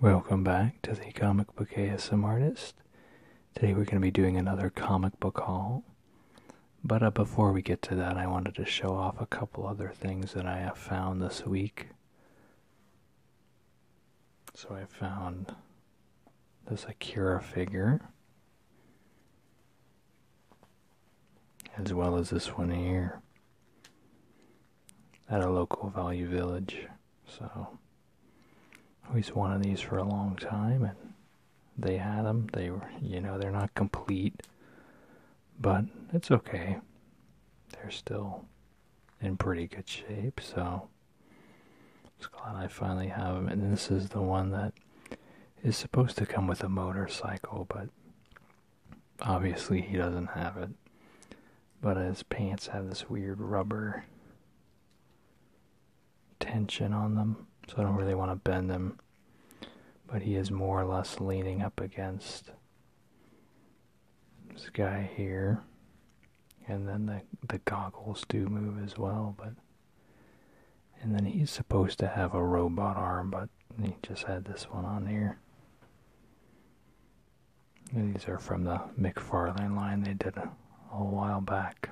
Welcome back to the Comic Book ASM Artist. Today we're going to be doing another comic book haul. But uh, before we get to that, I wanted to show off a couple other things that I have found this week. So I found this Akira figure, as well as this one here at a local value village. So we have one of these for a long time, and they had them. They were, you know, they're not complete, but it's okay. They're still in pretty good shape, so I it's glad I finally have them. And this is the one that is supposed to come with a motorcycle, but obviously he doesn't have it. But his pants have this weird rubber tension on them, so I don't really want to bend them. But he is more or less leaning up against this guy here. And then the, the goggles do move as well, but. And then he's supposed to have a robot arm, but he just had this one on here. These are from the McFarlane line they did a, while back.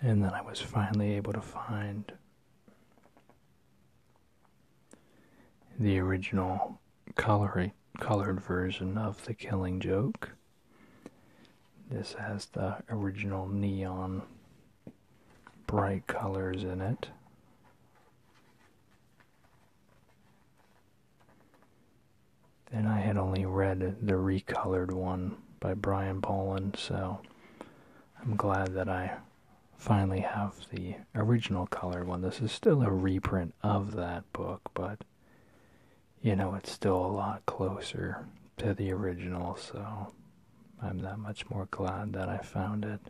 And then I was finally able to find the original colored, colored version of The Killing Joke. This has the original neon bright colors in it. Then I had only read the recolored one by Brian Boland, so I'm glad that I finally have the original color one. This is still a reprint of that book, but you know, it's still a lot closer to the original, so I'm that much more glad that I found it.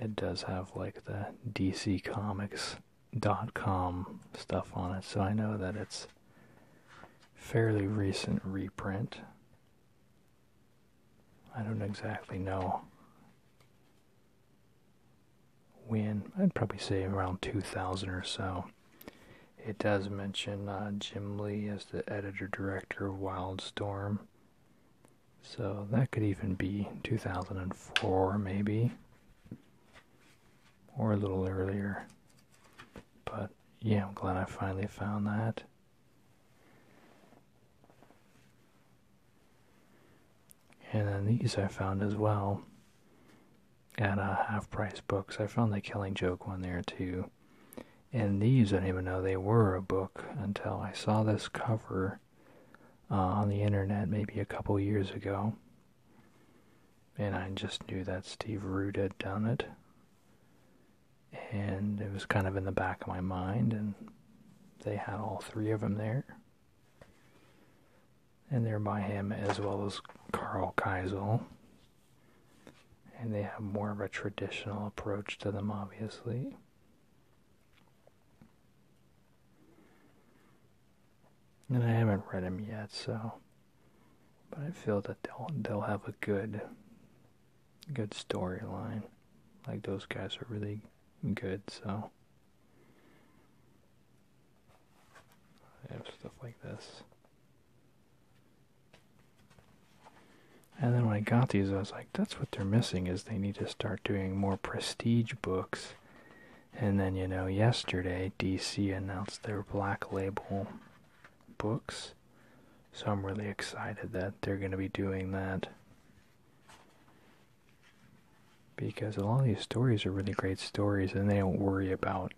It does have like the DCComics.com stuff on it, so I know that it's fairly recent reprint. I don't exactly know when I'd probably say around 2000 or so. It does mention uh, Jim Lee as the editor director of Wildstorm. So that could even be 2004, maybe, or a little earlier. But yeah, I'm glad I finally found that. And then these I found as well at a uh, half price books. I found the Killing Joke one there too. And these I didn't even know they were a book until I saw this cover uh, on the internet maybe a couple years ago. And I just knew that Steve Root had done it. And it was kind of in the back of my mind, and they had all three of them there and they're by him as well as Carl Keisel. And they have more of a traditional approach to them, obviously. And I haven't read them yet, so. But I feel that they'll they'll have a good, good storyline. Like those guys are really good, so I have stuff like this. And then when I got these, I was like, that's what they're missing is they need to start doing more prestige books. And then, you know, yesterday DC announced their black label books. So I'm really excited that they're going to be doing that because a lot of these stories are really great stories and they don't worry about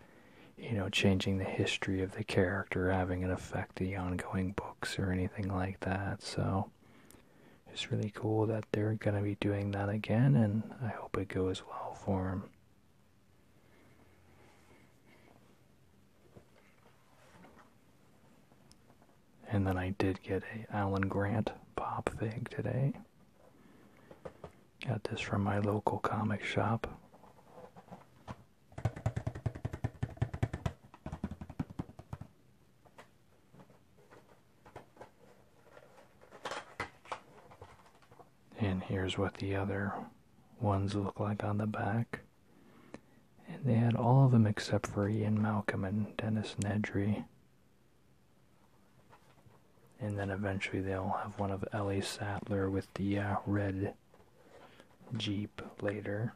you know changing the history of the character having it affect the ongoing books or anything like that so it's really cool that they're going to be doing that again and i hope it goes well for them and then I did get a Alan Grant pop fig today. Got this from my local comic shop. And here's what the other ones look like on the back. And they had all of them except for Ian Malcolm and Dennis Nedry. And then eventually they'll have one of Ellie Sattler with the uh, red Jeep later.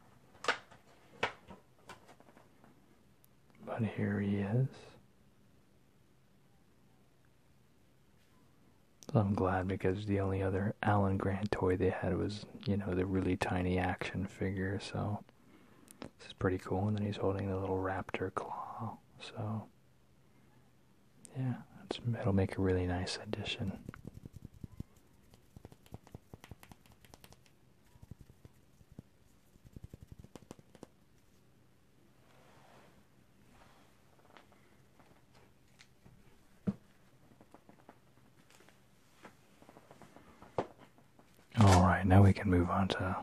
But here he is. I'm glad because the only other Alan Grant toy they had was, you know, the really tiny action figure, so this is pretty cool. And then he's holding the little raptor claw. So, yeah, it'll make a really nice addition. All right, now we can move on to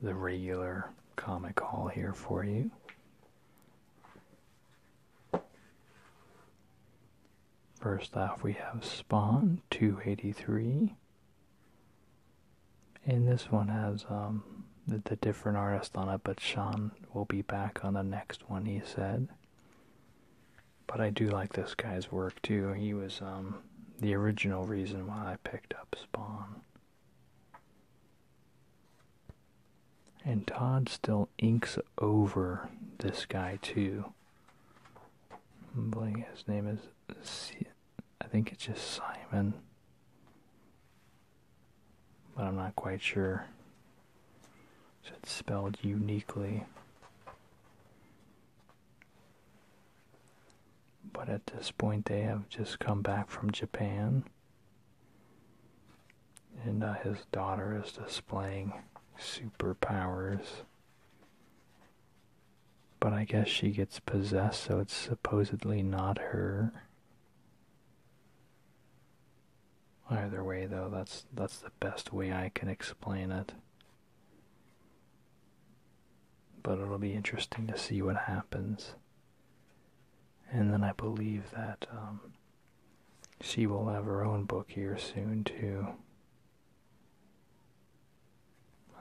the regular comic hall here for you. First off, we have Spawn 283. And this one has um, the, the different artist on it, but Sean will be back on the next one, he said. But I do like this guy's work too. He was um, the original reason why I picked up Spawn. And Todd still inks over this guy, too. i His name is. I think it's just Simon. But I'm not quite sure. it's spelled uniquely. But at this point, they have just come back from Japan. And uh, his daughter is displaying superpowers. But I guess she gets possessed, so it's supposedly not her. Either way, though, that's that's the best way I can explain it. But it'll be interesting to see what happens. And then I believe that um, she will have her own book here soon, too.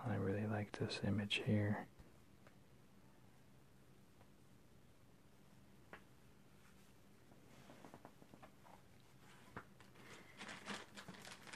I really like this image here.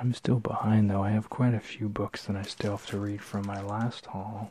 I'm still behind though. I have quite a few books that I still have to read from my last haul.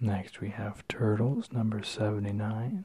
Next we have Turtles number 79.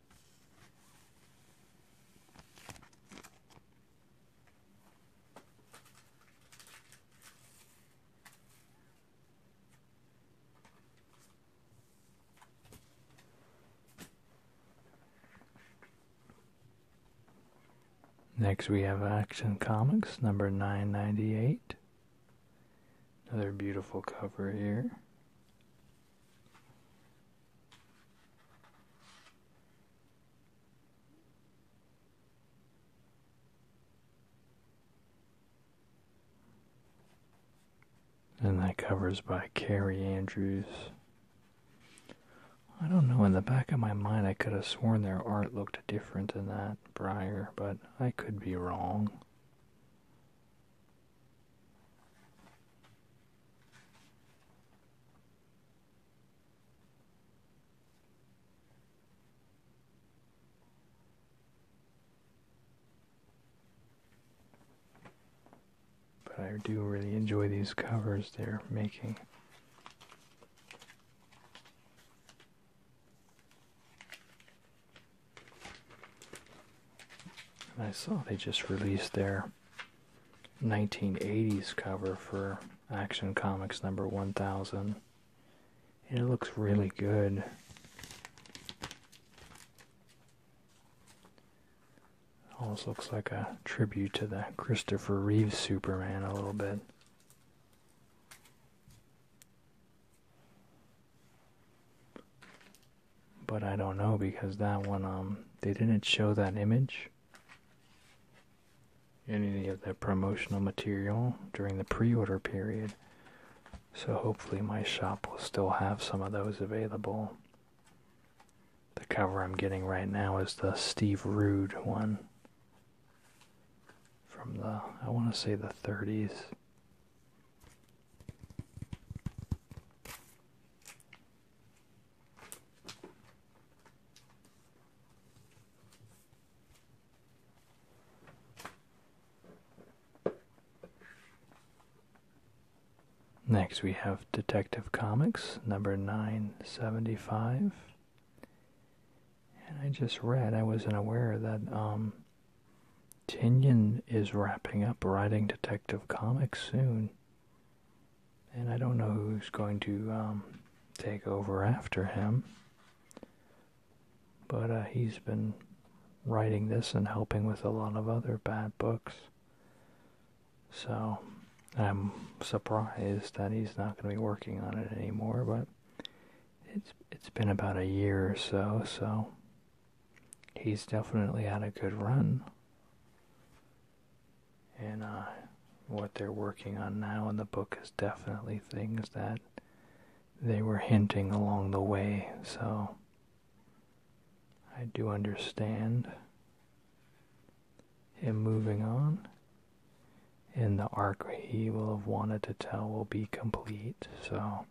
Next we have Action Comics number 998. Another beautiful cover here. And that covers by Carrie Andrews. I don't know, in the back of my mind, I could have sworn their art looked different than that brier, but I could be wrong. But I do really enjoy these covers they're making. And I saw they just released their 1980s cover for Action Comics number 1000. And it looks really good. Almost looks like a tribute to the Christopher Reeve Superman a little bit but I don't know because that one um they didn't show that image any of the promotional material during the pre-order period. So hopefully my shop will still have some of those available. The cover I'm getting right now is the Steve Rude one from the I want to say the 30s. Next, we have Detective Comics number 975. And I just read, I wasn't aware that um, Tinian is wrapping up writing Detective Comics soon. And I don't know who's going to um, take over after him. But uh, he's been writing this and helping with a lot of other bad books. So I'm surprised that he's not going to be working on it anymore, but it's it's been about a year or so, so he's definitely had a good run. And uh, what they're working on now in the book is definitely things that they were hinting along the way, so I do understand him moving on. And the arc he will have wanted to tell will be complete, so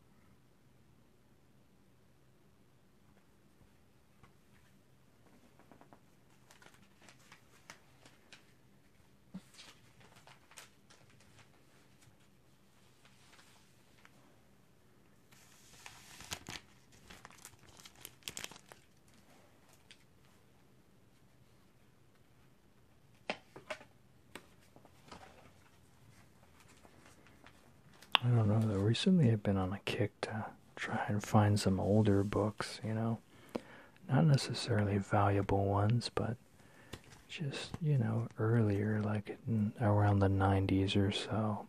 I don't know recently I've been on a kick to try and find some older books, you know. Not necessarily valuable ones, but just, you know, earlier, like around the 90s or so.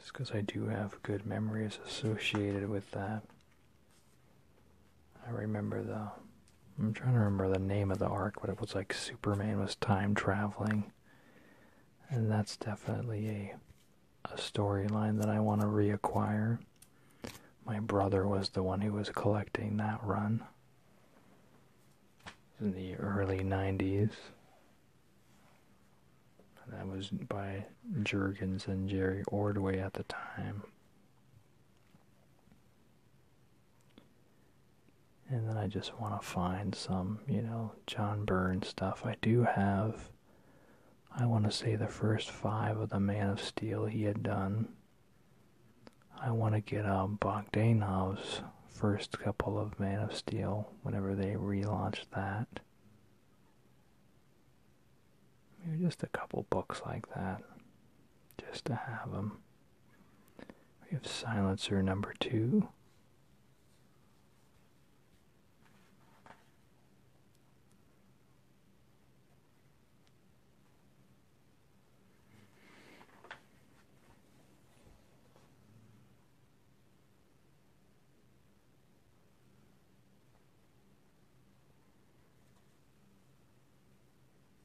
Just because I do have good memories associated with that. I remember the. I'm trying to remember the name of the arc, but it was like Superman was time traveling. And that's definitely a, a storyline that I want to reacquire. My brother was the one who was collecting that run in the early 90s. That was by Jurgens and Jerry Ordway at the time. And then I just want to find some, you know, John Byrne stuff. I do have, I want to say, the first five of the Man of Steel he had done. I want to get um, Bogdanov's first couple of Man of Steel whenever they relaunched that. Maybe just a couple books like that, just to have them. We have silencer number two.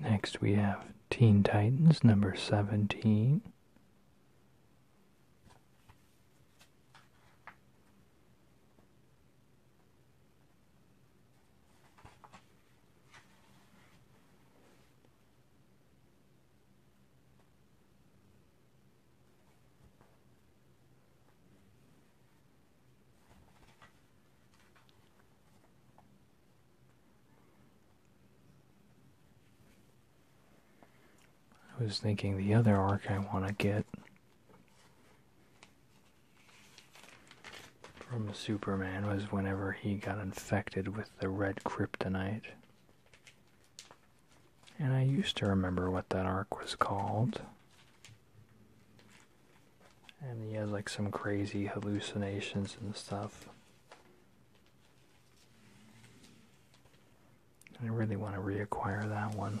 Next, we have Teen Titans number 17. I was thinking the other arc I want to get from Superman was whenever he got infected with the red kryptonite. And I used to remember what that arc was called. And he has like some crazy hallucinations and stuff. I really want to reacquire that one.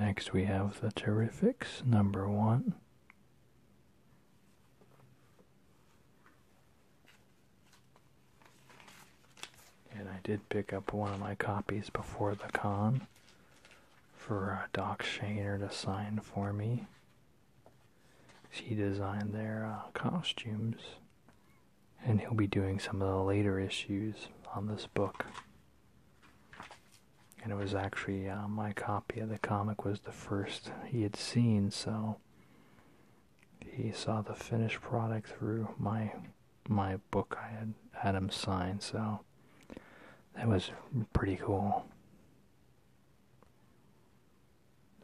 Next, we have the Terrifics, number one. And I did pick up one of my copies before the con for uh, Doc Shaner to sign for me. He designed their uh, costumes, and he'll be doing some of the later issues on this book. And it was actually uh, my copy of the comic was the first he had seen, so he saw the finished product through my my book I had had him sign. So that was pretty cool.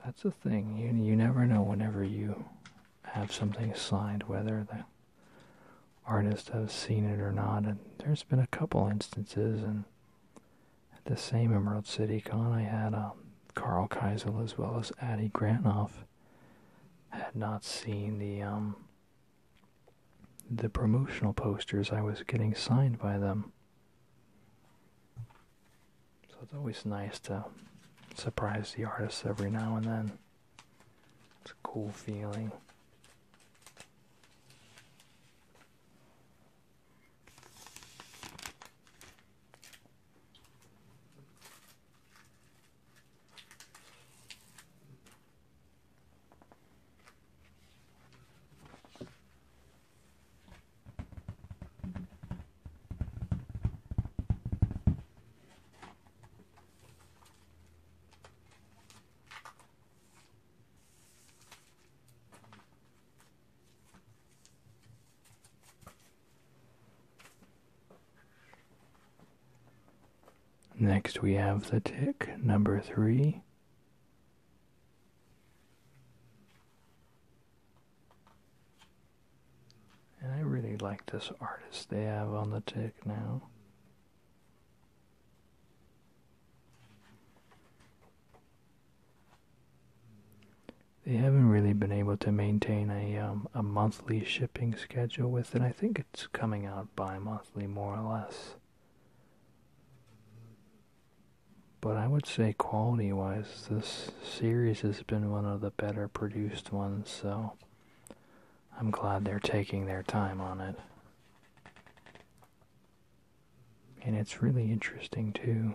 That's the thing. You you never know whenever you have something signed whether the artist has seen it or not. And there's been a couple instances. And at the same Emerald City Con, I had um, Carl Keisel as well as Addy Granoff had not seen the um, the promotional posters, I was getting signed by them. So it's always nice to surprise the artists every now and then. It's a cool feeling. Next, we have the tick number three. And I really like this artist they have on the tick now. They haven't really been able to maintain a um, a monthly shipping schedule with it. I think it's coming out bi-monthly, more or less. But I would say quality-wise, this series has been one of the better produced ones, so I'm glad they're taking their time on it. And it's really interesting, too.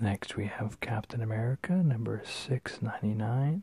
Next, we have Captain America number 699.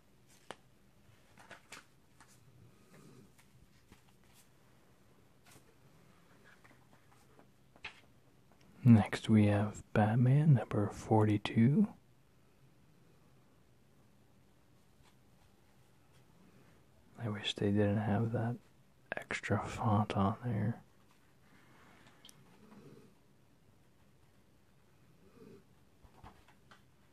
Next, we have Batman number 42. I wish they didn't have that extra font on there.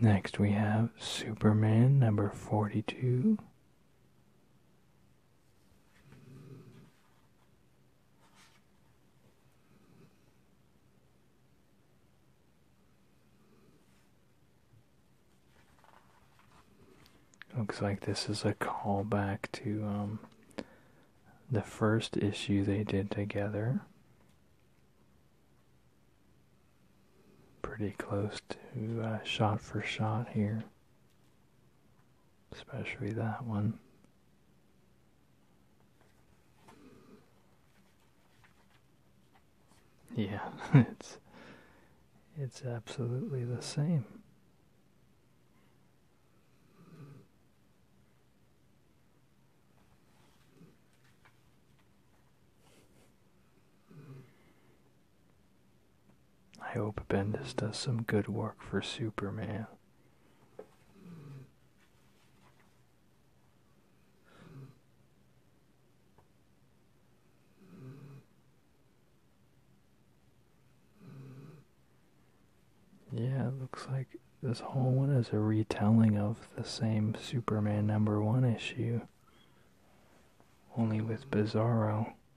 Next, we have Superman number 42. Looks like this is a callback to um, the first issue they did together. Pretty close to uh, shot for shot here especially that one. Yeah, it's it's absolutely the same. I hope Bendis does some good work for Superman. Yeah, it looks like this whole one is a retelling of the same Superman number one issue, only with Bizarro.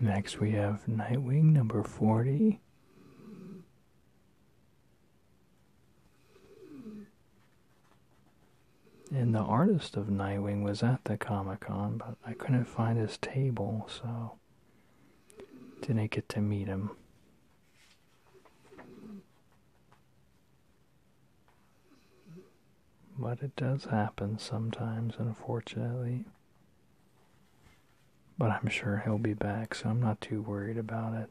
Next, we have Nightwing number 40. And the artist of Nightwing was at the Comic Con, but I couldn't find his table, so didn't get to meet him. But it does happen sometimes, unfortunately. But I'm sure he'll be back, so I'm not too worried about it.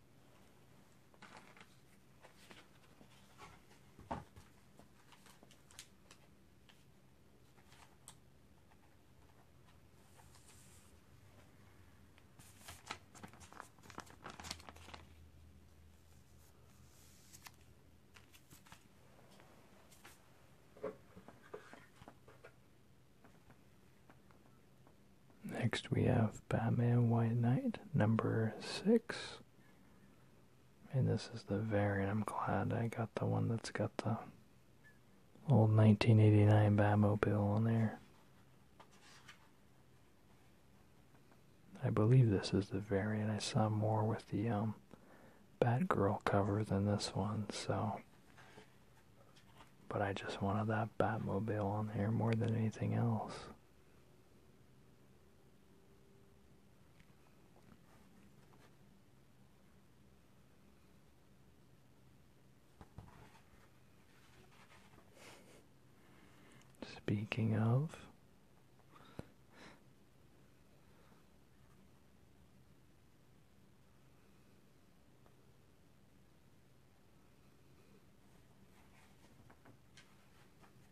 Next we have Batman White Knight number six. And this is the variant. I'm glad I got the one that's got the old 1989 Batmobile on there. I believe this is the variant. I saw more with the um, Batgirl cover than this one, so. But I just wanted that Batmobile on there more than anything else. Speaking of,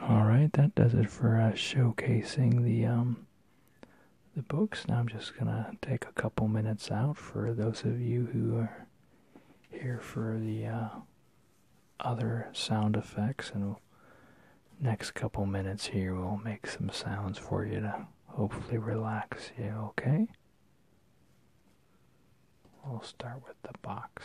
All right, that does it for us showcasing the um, the books. Now I'm just gonna take a couple minutes out for those of you who are here for the uh, other sound effects, and next couple minutes here we'll make some sounds for you to hopefully relax you, okay? We'll start with the box.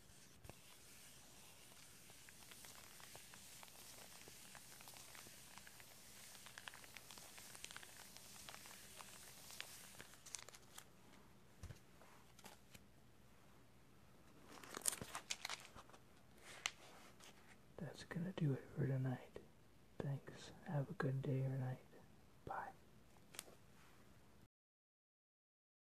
That's going to do it for tonight. Thanks. Have a good day or night. Bye.